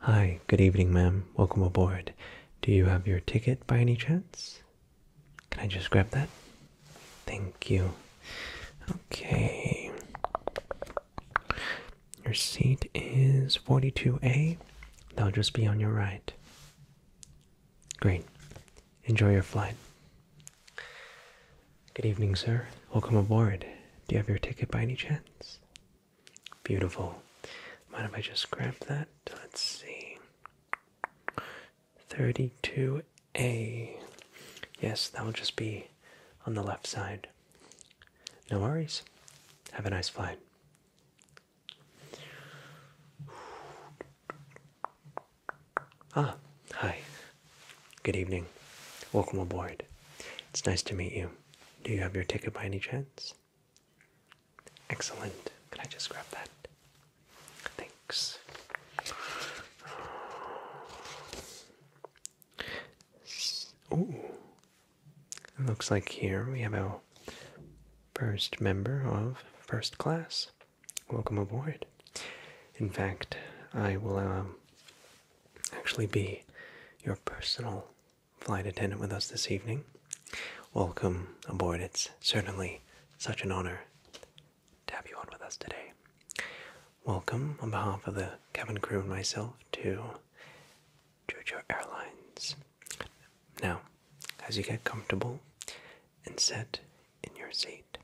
Hi, good evening, ma'am. Welcome aboard. Do you have your ticket by any chance? Can I just grab that? Thank you. Okay. Your seat is 42A. That'll just be on your right. Great. Enjoy your flight. Good evening, sir. Welcome aboard. Do you have your ticket by any chance? Beautiful. Mind if I just grab that? Let's see. 32A. Yes, that will just be on the left side. No worries. Have a nice flight. Ah, hi. Good evening. Welcome aboard. It's nice to meet you. Do you have your ticket by any chance? Excellent. Can I just grab that? Thanks. Oh, looks like here we have our first member of first class. Welcome aboard. In fact, I will um, actually be your personal flight attendant with us this evening. Welcome aboard. It's certainly such an honor to have you on with us today. Welcome on behalf of the cabin crew and myself to Georgia Airlines. Now, as you get comfortable and set in your seat,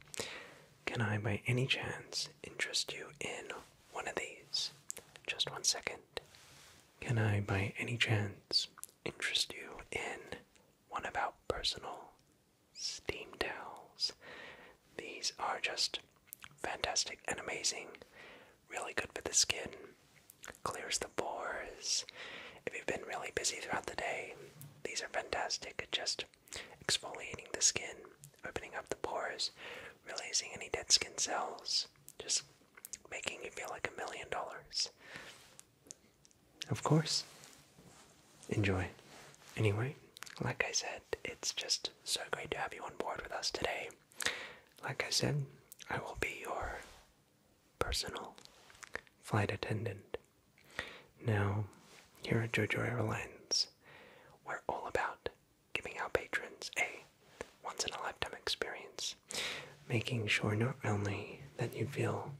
can I by any chance interest you in one of these. Just one second. Can I, by any chance, interest you in one about personal steam towels? These are just fantastic and amazing. Really good for the skin, clears the pores. If you've been really busy throughout the day, these are fantastic at just exfoliating the skin opening up the pores, releasing any dead skin cells, just making you feel like a million dollars. Of course. Enjoy. Anyway, like I said, it's just so great to have you on board with us today. Like I said, I will be your personal flight attendant. Now, here at JoJo Airlines, we're all about giving our patrons a once in a lifetime experience, making sure not only that you feel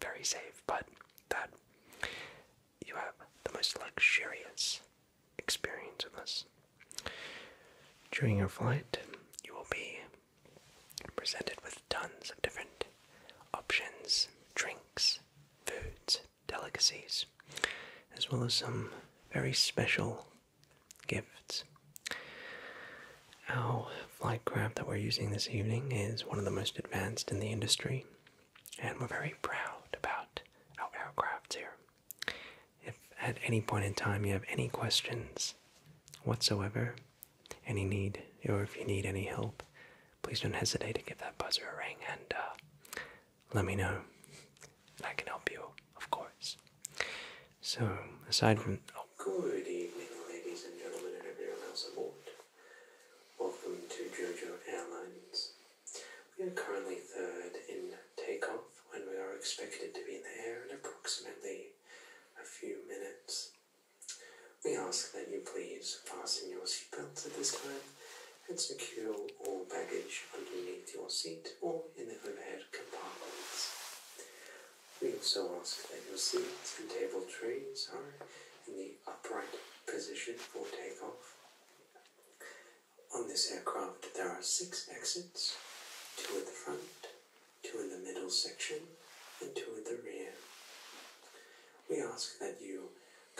very safe, but that you have the most luxurious experience of us. During your flight, you will be presented with tons of different options, drinks, foods, delicacies, as well as some very special gifts. Our flight craft that we're using this evening is one of the most advanced in the industry, and we're very proud about our aircrafts here. If at any point in time you have any questions whatsoever, any need, or if you need any help, please don't hesitate to give that buzzer a ring, and uh, let me know. And I can help you, of course. So, aside from. Oh. Good evening, ladies and gentlemen, and everyone else aboard. Welcome to JoJo Airlines. We are currently third in takeoff when we are expected to be in the air in approximately a few minutes. We ask that you please fasten your seatbelts at this time and secure all baggage underneath your seat or in the overhead compartments. We also ask that your seats and table trays are in the upright position for takeoff. On this aircraft there are six exits, two at the front, two in the middle section, and two at the rear. We ask that you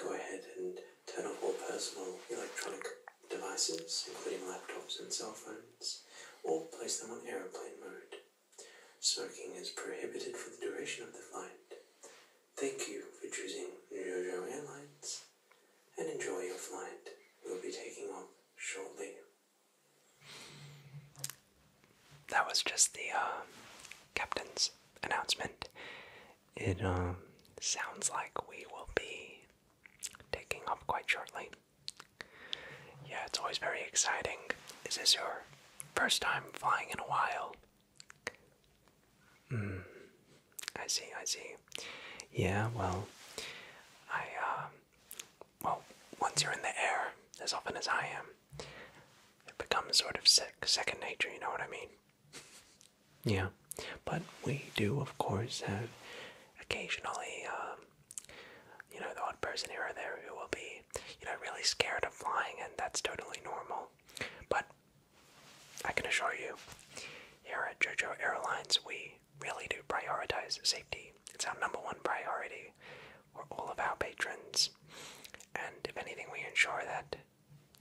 go ahead and turn off all personal electronic devices, including laptops and cell phones, or place them on aeroplane mode. Smoking is prohibited for the duration of the flight. Thank you for choosing Jojo Airlines and enjoy your flight. We'll be taking off shortly. That was just the uh, captain's announcement it um, sounds like we will be taking off quite shortly. Yeah, it's always very exciting. Is this your first time flying in a while? Mm, I see, I see. Yeah, well, I, uh, well, once you're in the air, as often as I am, it becomes sort of sec second nature, you know what I mean? Yeah, but we do, of course, have occasionally, um, you know, the odd person here or there who will be, you know, really scared of flying, and that's totally normal. But I can assure you, here at JoJo Airlines, we really do prioritize safety. It's our number one priority for all of our patrons. And if anything, we ensure that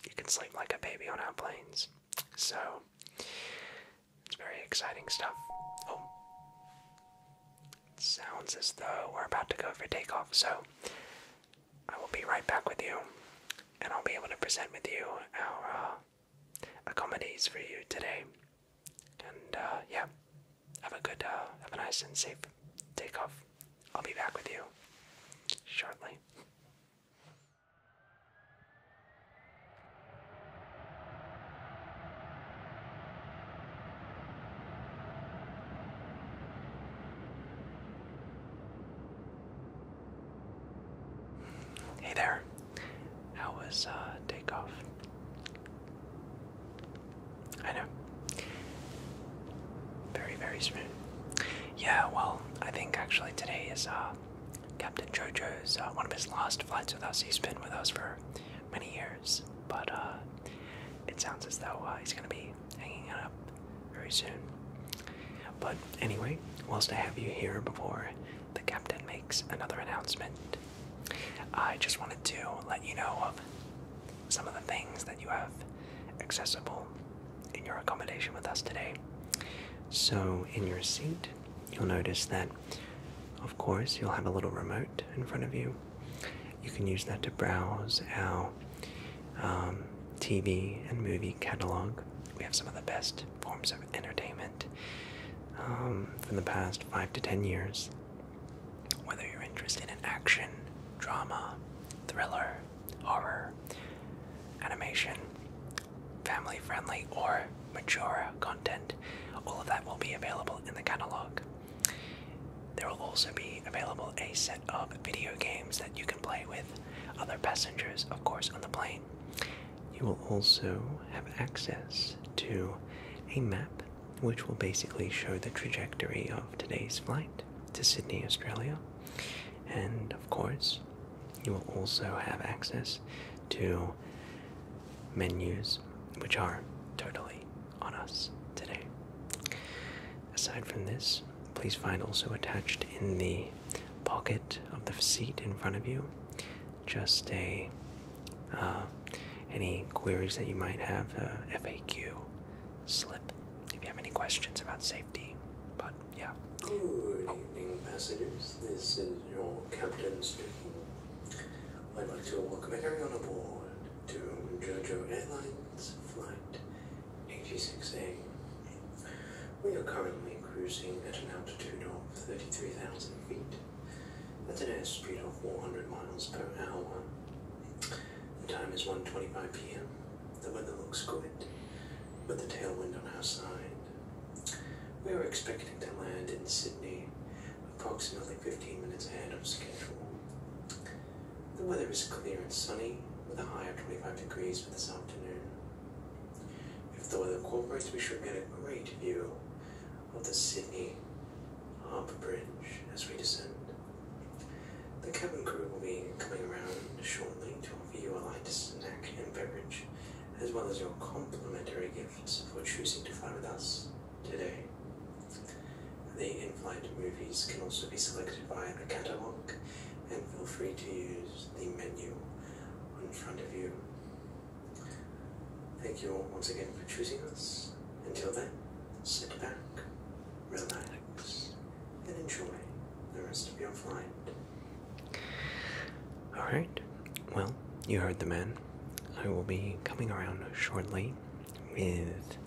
you can sleep like a baby on our planes. So, it's very exciting stuff. Oh. sounds as though we're about to go for takeoff, so I will be right back with you, and I'll be able to present with you our uh, accommodations for you today. And uh, yeah, have a good, uh, have a nice and safe takeoff. I'll be back with you shortly. Hey there. How was uh, takeoff? I know. Very, very smooth. Yeah, well, I think actually today is uh, Captain Jojo's uh, one of his last flights with us. He's been with us for many years, but uh, it sounds as though uh, he's going to be hanging it up very soon. But anyway, whilst I have you here before the captain makes another announcement, I just wanted to let you know of some of the things that you have accessible in your accommodation with us today. So, in your seat, you'll notice that, of course, you'll have a little remote in front of you. You can use that to browse our um, TV and movie catalog. We have some of the best forms of entertainment um, from the past five to ten years. Whether you're interested in action, drama, thriller, horror, animation, family friendly or mature content. All of that will be available in the catalog. There will also be available a set of video games that you can play with other passengers, of course, on the plane. You will also have access to a map which will basically show the trajectory of today's flight to Sydney, Australia. And of course, you will also have access to menus, which are totally on us today. Aside from this, please find also attached in the pocket of the seat in front of you just a uh, any queries that you might have, uh, FAQ slip. If you have any questions about safety. Good evening, passengers. This is your captain speaking. I'd like to welcome everyone aboard to JoJo Airlines Flight 86A. We are currently cruising at an altitude of 33,000 feet at an airspeed of 400 miles per hour. The time is one twenty-five p.m. The weather looks good, with a tailwind on our side. We were expecting to land in Sydney approximately 15 minutes ahead of schedule. The weather is clear and sunny, with a high of 25 degrees for this afternoon. If the weather cooperates, we should get a great view of the Sydney Harbour Bridge as we descend. The cabin crew will be coming around shortly to for your VULI snack and beverage, as well as your complimentary gifts for choosing to fly with us today. The in-flight movies can also be selected via the catalogue, and feel free to use the menu in front of you. Thank you all once again for choosing us. Until then, sit back, relax, and enjoy the rest of your flight. Alright, well, you heard the man. I will be coming around shortly with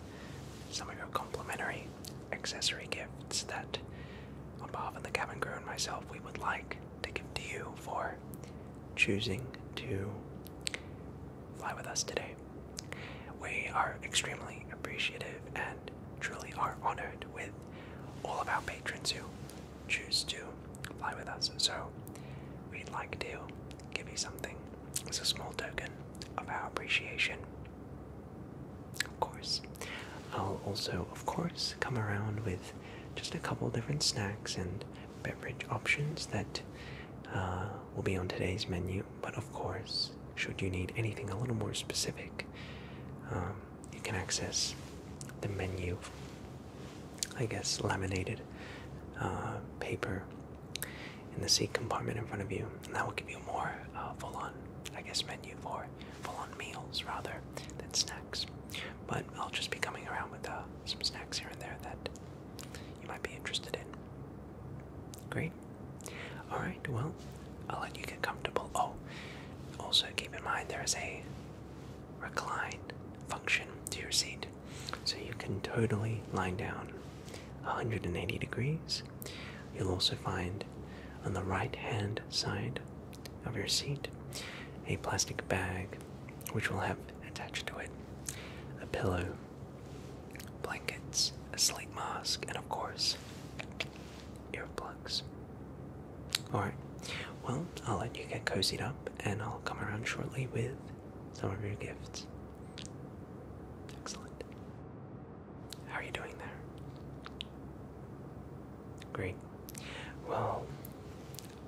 some of your complimentary accessory gifts that, on behalf of the cabin crew and myself, we would like to give to you for choosing to fly with us today. We are extremely appreciative and truly are honored with all of our patrons who choose to fly with us. So we'd like to give you something as a small token of our appreciation. Of course. I'll also, of course, come around with just a couple different snacks and beverage options that uh, will be on today's menu. But of course, should you need anything a little more specific, um, you can access the menu, I guess laminated uh, paper in the seat compartment in front of you, and that will give you more uh, full-on, I guess, menu for full-on meals rather than snacks. But I'll just be coming around with uh, some snacks here and there that you might be interested in. Great. All right well, I'll let you get comfortable. Oh, also keep in mind there is a recline function to your seat. So you can totally lie down 180 degrees. You'll also find on the right hand side of your seat a plastic bag which will have attached to it a pillow, blankets, a sleep mask, and of course, earplugs. Alright, well, I'll let you get cozied up and I'll come around shortly with some of your gifts. Excellent. How are you doing there? Great. Well,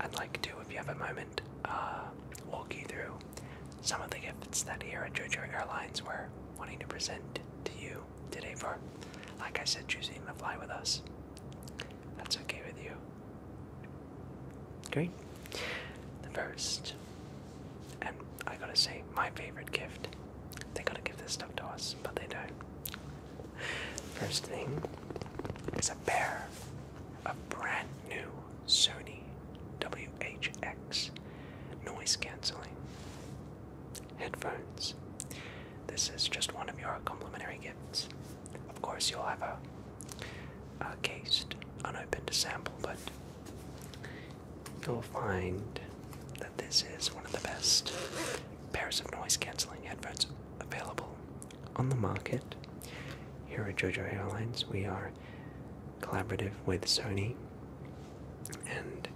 I'd like to, if you have a moment, uh, walk you through some of the gifts that here at JoJo Airlines were wanting to present to you today for, like I said, choosing to fly with us. That's okay with you. Great. first, and I gotta say, my favorite gift. They gotta give this stuff to us, but they don't. First thing is a pair of brand new Sony WHX noise canceling headphones. This is just one of your complimentary gifts. Of course, you'll have a, a cased, unopened sample, but you'll find that this is one of the best pairs of noise cancelling headphones available on the market. Here at JoJo Airlines, we are collaborative with Sony and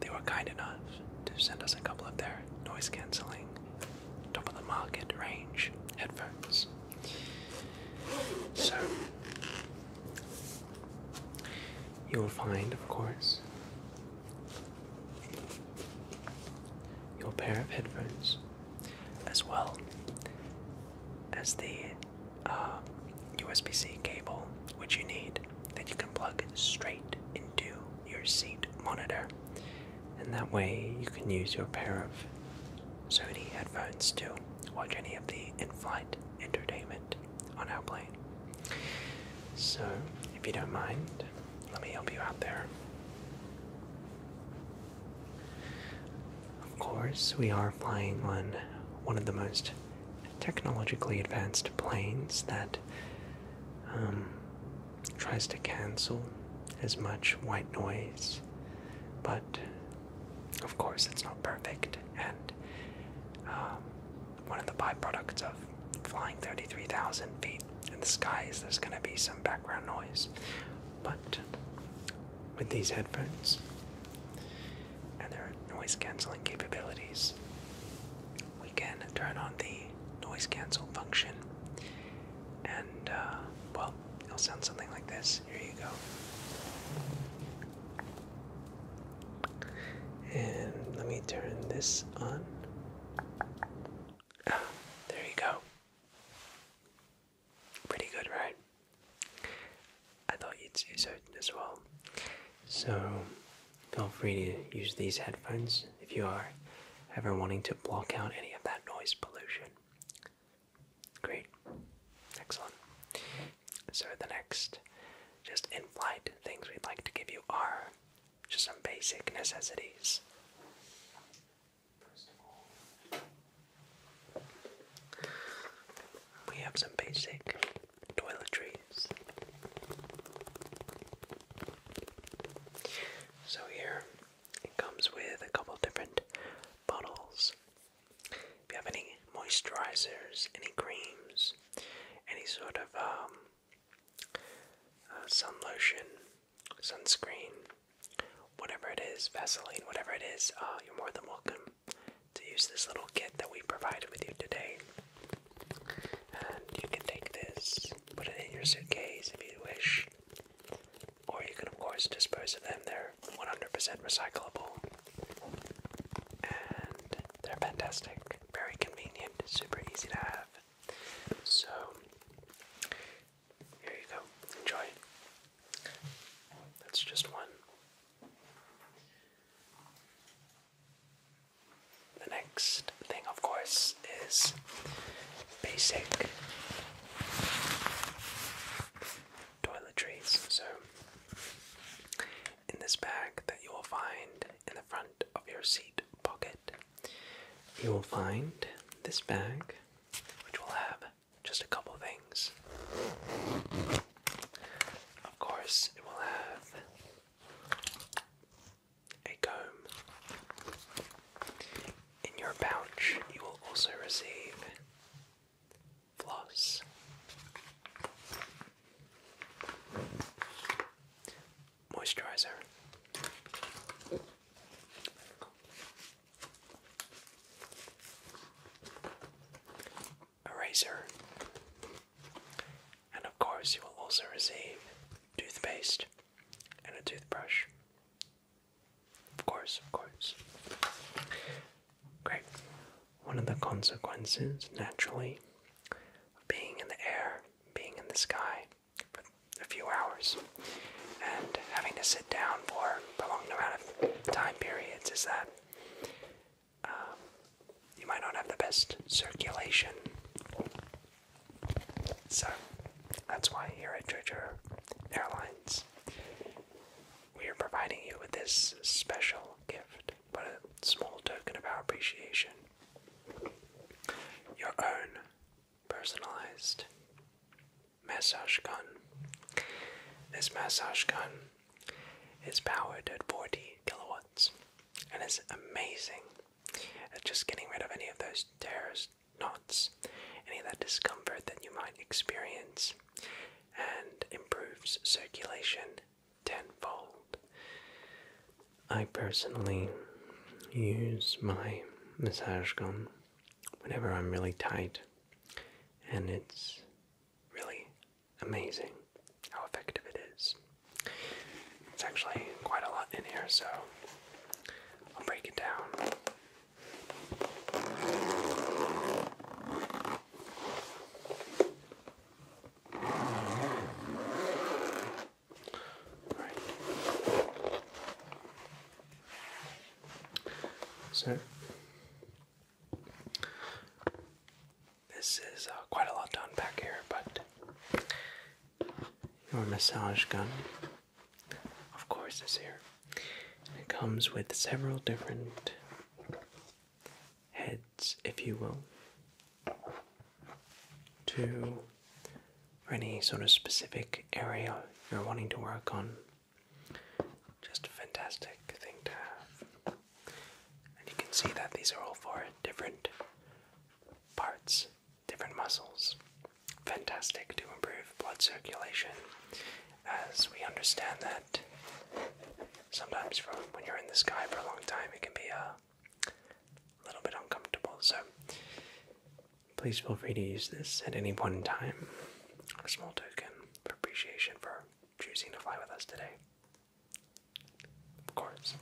they were kind enough to send us a couple of their noise cancelling top of the market range headphones. So you'll find, of course, your pair of headphones as well as the USB uh, C cable which you need that you can plug straight into your seat monitor. And that way you can use your pair of Sony headphones to watch any of the in flight entertainment on our plane. So, if you don't mind, let me help you out there. Of course, we are flying on one of the most technologically advanced planes that um, tries to cancel as much white noise, but of course it's not perfect. And um, one of the byproducts of flying 33,000 feet in the sky is there's going to be some background noise. But with these headphones, and their noise canceling capabilities. We can turn on the noise cancel function, and uh, well, it'll sound something like this. Here you go. And let me turn this on. Ah, there you go. Pretty good, right? I thought you'd say so as well. So feel free to use these headphones if you are ever wanting to block out any of that noise pollution. Great. Excellent. So the next just in flight things we'd like to give you are just some basic necessities. we have some basic toiletries. So here it comes with a couple different bottles. If you have any moisturizers, any creams, any sort of um, uh, sun lotion, sunscreen, whatever it is, Vaseline, whatever it is, uh, you're more than welcome to use this little kit that we provided with you today. And you can take this, put it in your suitcase if you wish, or you can, of course, dispose of them. They're 100% recyclable. And they're fantastic, very convenient, super easy to have. So, here you go. Enjoy. That's just one. The next thing, of course, is basic toiletries. So, in this bag that you will find in the front of your seat pocket, you will find this bag, which will have just a couple things. Of course, it will have a comb. In your pouch, you will also receive floss. Moisturizer eraser. And of course, you will also receive toothpaste and a toothbrush. Of course, of course. Great. One of the consequences, naturally, being in the air, being in the sky for a few hours, and having to sit down for prolonged amount of time periods is that um, you might not have the best circulation. So that's why here at Georgia Airlines we are providing you with this special gift, but a small token of our appreciation. Your own personalized massage gun. This massage gun is powered at 40 kilowatts and it's amazing at uh, just getting rid of any of those terrors, knots, any of that discomfort that you might experience, and improves circulation tenfold. I personally use my massage gun whenever I'm really tight, and it's really amazing how effective it is. It's actually quite a lot in here, so I'll break it down. So this is uh, quite a lot done back here, but your massage gun, of course, is here. it comes with several different heads, if you will, to any sort of specific area you're wanting to work on. Just a fantastic thing to have. And you can see that these are all for different parts, different muscles. Fantastic to improve blood circulation, as we understand that sometimes when you're in the sky for a long time, it can be a little bit uncomfortable. So please feel free to use this at any point in time. A small token of appreciation for choosing to fly with us today. Of course.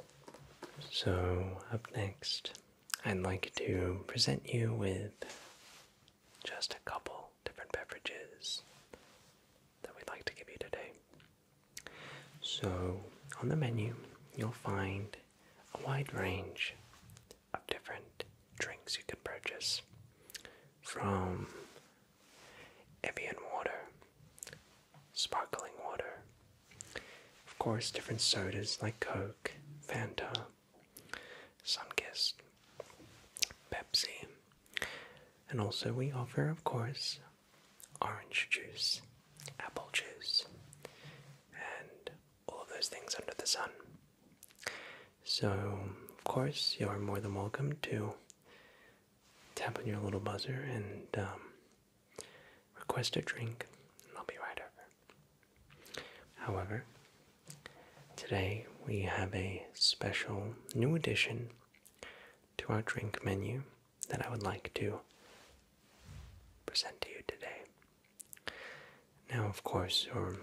So, up next, I'd like to present you with just a couple different beverages that we'd like to give you today. So, on the menu, you'll find a wide range of different drinks you can purchase from Evian water, sparkling water, of course, different sodas like Coke, Fanta, Sunkist, Pepsi, and also we offer, of course, orange juice, apple juice, and all of those things under the sun. So, of course, you are more than welcome to tap on your little buzzer and um, request a drink, and I'll be right over. However, today we have a special new addition to our drink menu that I would like to present to you today. Now, of course, you're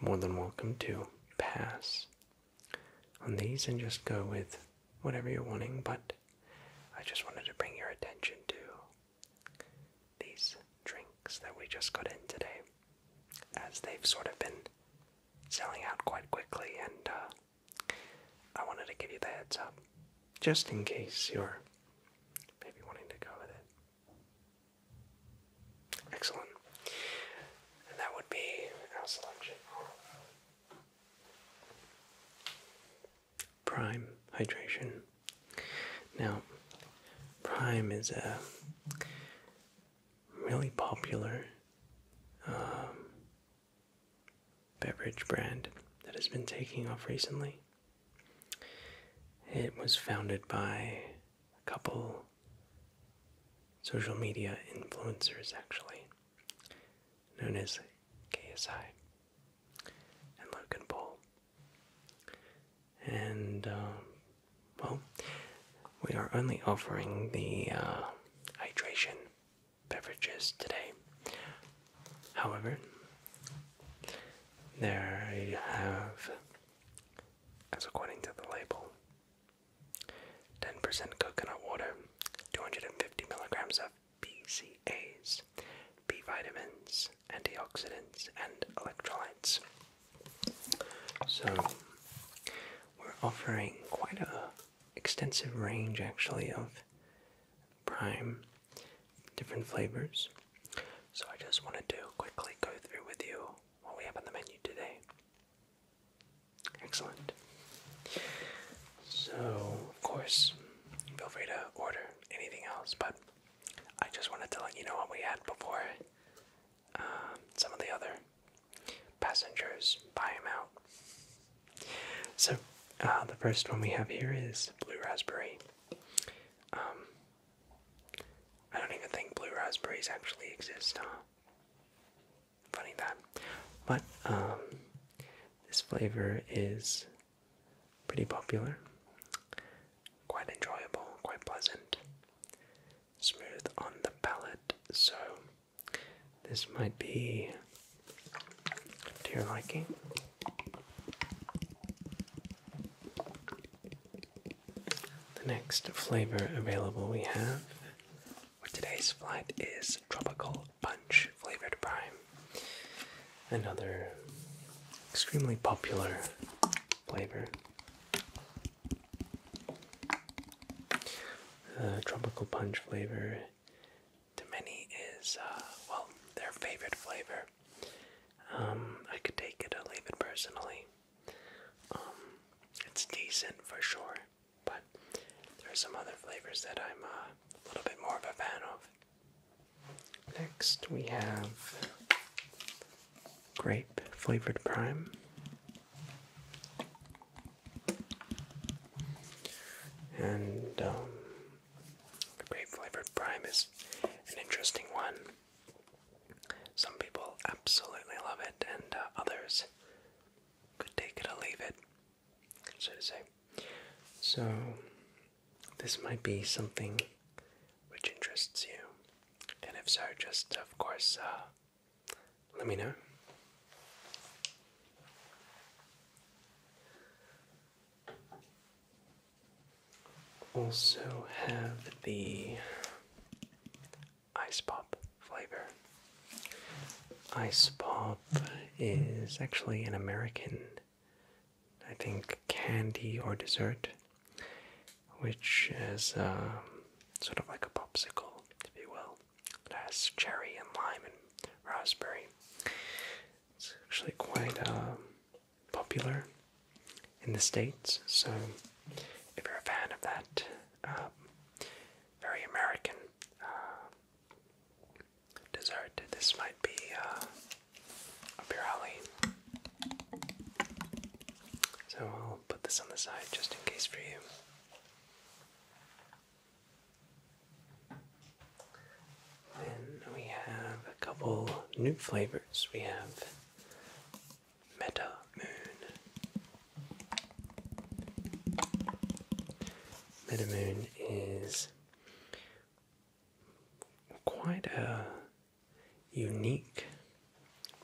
more than welcome to pass on these and just go with whatever you're wanting, but I just wanted to bring your attention to these drinks that we just got in today, as they've sort of been selling out quite quickly, and uh, I wanted to give you the heads up just in case you're maybe wanting to go with it. Excellent. And that would be our selection. Prime hydration. Now, Prime is a uh, really popular um, beverage brand that has been taking off recently. It was founded by a couple social media influencers, actually known as KSI, and Logan Paul. And, um, well, we are only offering the uh, hydration beverages today. However, there you have, as according to the label, 10% coconut water, 250 milligrams of BCAAs, B vitamins, antioxidants, and electrolytes. So, we're offering quite a extensive range actually of prime different flavors. So, I just wanted to quickly go through with you what we have on the menu today. Excellent. So, of course, feel free to order anything else, but I just wanted to let you know what we had before um, some of the other passengers buy them out. So, uh, the first one we have here is blue raspberry. Um, I don't even think blue raspberries actually exist, huh? funny that. But um, this flavor is pretty popular, quite enjoyable, quite pleasant, smooth on the palate. So this might be to your liking. The next flavor available we have today's flight is Tropical Punch Flavored Prime. Another extremely popular flavor. Uh, tropical punch flavor to many is, uh, well, their favorite flavor. Um, I could take it or leave it personally. Um, it's decent for sure. But there are some other flavors that I'm uh, a little bit more of a fan of. Next, we have grape flavored prime. And um, grape flavored prime is an interesting one. Some people absolutely love it, and uh, others could take it or leave it, so to say. So, this might be something which interests you, and if so, just of course, uh, let me know. Also, have the ice pop flavor. Ice pop is actually an American, I think, candy or dessert, which is um, sort of like a popsicle, if you will. It has cherry and lime and raspberry. It's actually quite um, popular in the States, so if you're a fan of that, um, very American uh, dessert. This might be up uh, your alley. So I'll put this on the side just in case for you. Then we have a couple new flavors. We have Meta Moon Metamoon is quite a unique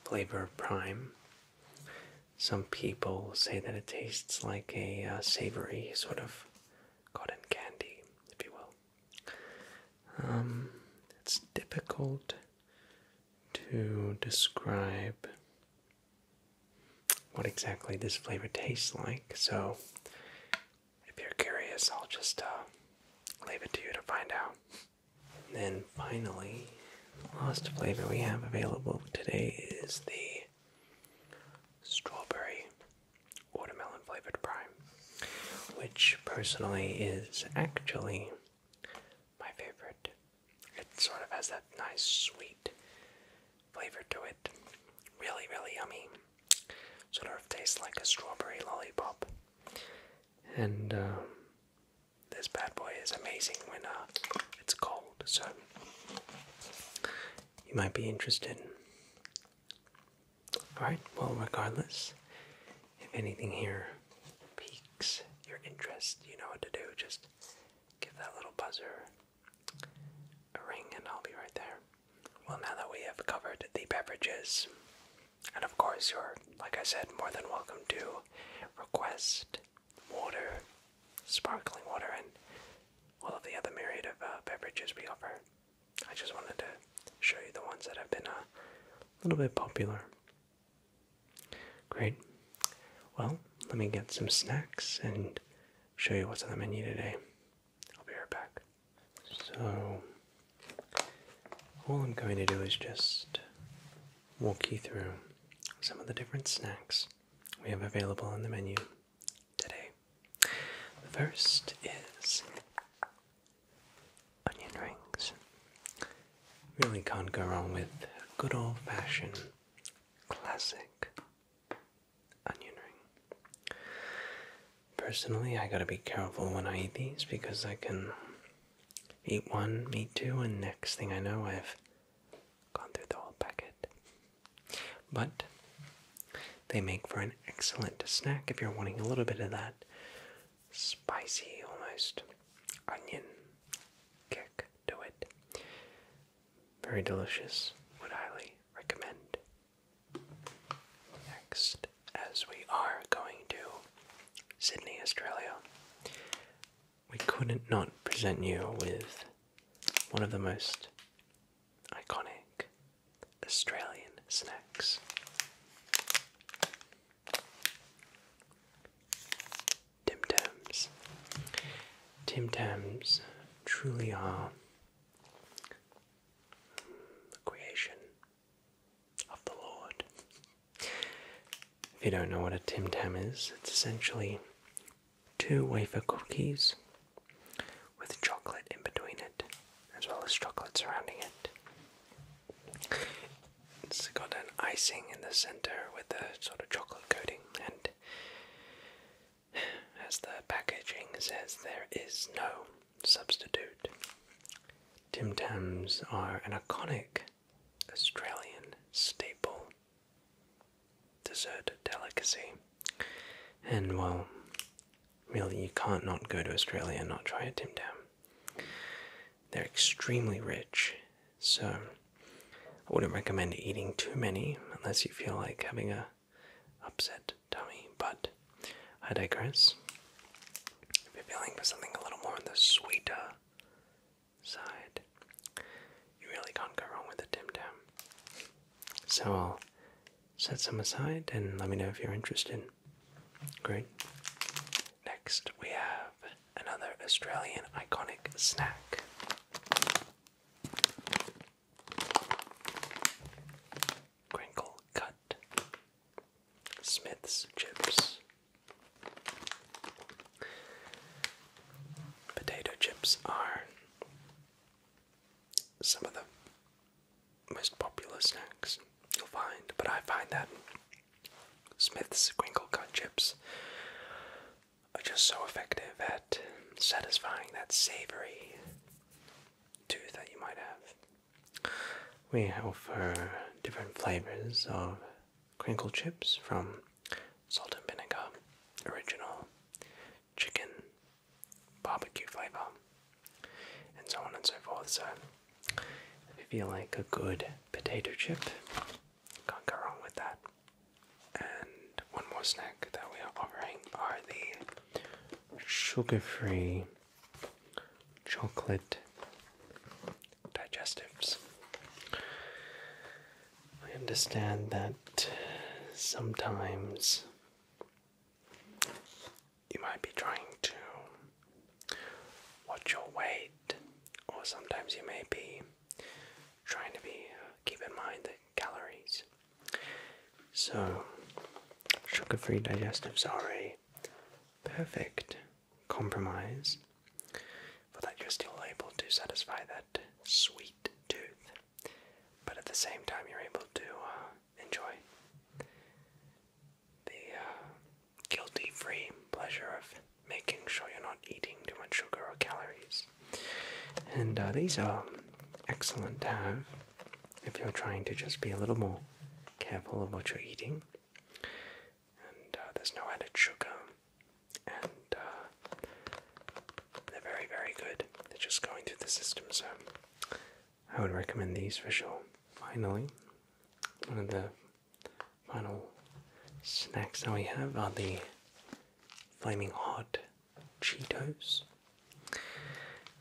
flavor of prime. Some people say that it tastes like a uh, savory sort of cotton candy, if you will. Um, it's difficult to describe what exactly this flavor tastes like. So, if you're curious, I'll just uh, leave it to you to find out. then finally, the last flavor we have available today is the strawberry watermelon flavored prime, which personally is actually my favorite. It sort of has that nice sweet flavor to it. Really, really yummy. Sort of tastes like a strawberry lollipop. And um, this bad boy is amazing when uh, it's cold, so you might be interested. Alright, well, regardless, if anything here piques your interest, you know what to do. Just give that little buzzer a ring and I'll be right there. Well, now that we have covered the beverages, and of course, you're, like I said, more than welcome to request water, sparkling water, and all of the other myriad of uh, beverages we offer. I just wanted to show you the ones that have been uh, a little bit popular Great. Well, let me get some snacks and show you what's on the menu today. I'll be right back. So, all I'm going to do is just walk you through some of the different snacks we have available on the menu today. The first is onion rings. Really can't go wrong with good old fashioned classic onion ring. Personally, I gotta be careful when I eat these because I can eat one, eat two, and next thing I know, I've gone through the whole packet. But they make for an excellent snack if you're wanting a little bit of that spicy, almost onion kick do it. Very delicious, would highly recommend. Next, as we are going to Sydney, Australia, we couldn't not present you with one of the most iconic Australian snacks. Tim Tams. Tim Tams truly are the creation of the Lord. If you don't know what a Tim Tam is, it's essentially two wafer cookies with chocolate in between it, as well as chocolate surrounding it. It's got an icing in the center with a sort of chocolate coating, and as the packaging says, there is no substitute. Tim Tams are an iconic Australian staple dessert delicacy, and well, really, you can't not go to Australia and not try a Tim Tam. They're extremely rich, so I wouldn't recommend eating too many unless you feel like having a upset tummy. But I digress. If you're feeling for something a little more on the sweeter side, you really can't go wrong with a Tim Tam. So I'll set some aside and let me know if you're interested. Great. Next, we have another Australian iconic snack. Crinkle cut. Smith's chips. Potato chips are some of the most popular snacks you'll find, but I find that Smith's crinkle cut chips are just so effective at satisfying that savory tooth that you might have. We offer different flavors of crinkle chips from salt and vinegar, original, chicken, barbecue flavor, and so on and so forth. So, if you feel like a good potato chip, can't go wrong with that. And one more snack that we are offering are the sugar-free chocolate digestives. I understand that sometimes you might be trying to watch your weight, or sometimes you may be trying to be uh, keep in mind the calories. So, sugar-free digestives are a perfect compromise for that you're still able to satisfy that sweet tooth, but at the same time you're able to uh, enjoy the uh, guilty free pleasure of making sure you're not eating too much sugar or calories. And uh, these are excellent to have if you're trying to just be a little more careful of what you're eating. And uh, there's no added sugar, and uh, they're very, very good. They're just going through the system, so I would recommend these for sure. Finally, one of the final snacks that we have are uh, the flaming hot Cheetos.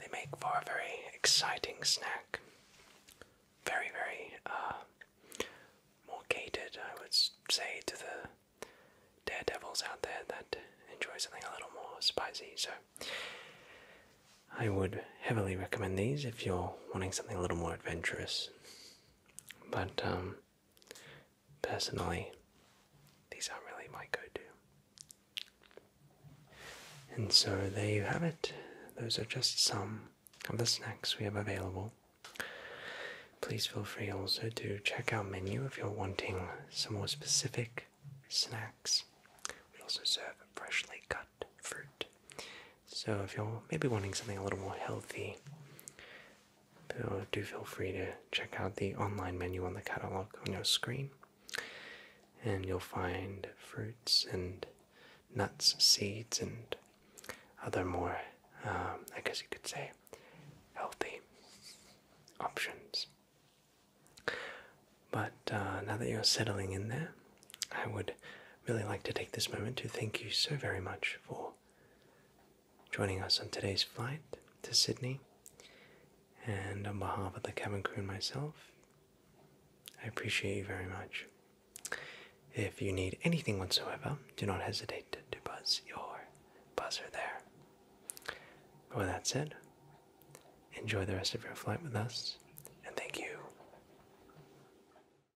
They make for a very exciting snack. Very, very uh, more catered, I would say, to the daredevils out there that enjoy something a little more spicy. So, I would heavily recommend these if you're wanting something a little more adventurous. But um, personally, these are not really my go-to. And so there you have it. Those are just some of the snacks we have available. Please feel free also to check our menu if you're wanting some more specific snacks. We also serve freshly cut fruit so if you're maybe wanting something a little more healthy, do feel free to check out the online menu on the catalog on your screen, and you'll find fruits and nuts, seeds, and other more, um, I guess you could say, healthy options. But uh, now that you're settling in there, I would really like to take this moment to thank you so very much for joining us on today's flight to Sydney. And on behalf of the cabin crew and myself, I appreciate you very much. If you need anything whatsoever, do not hesitate to, buzz your buzzer there. with that said, enjoy the rest of your flight with us, and thank you.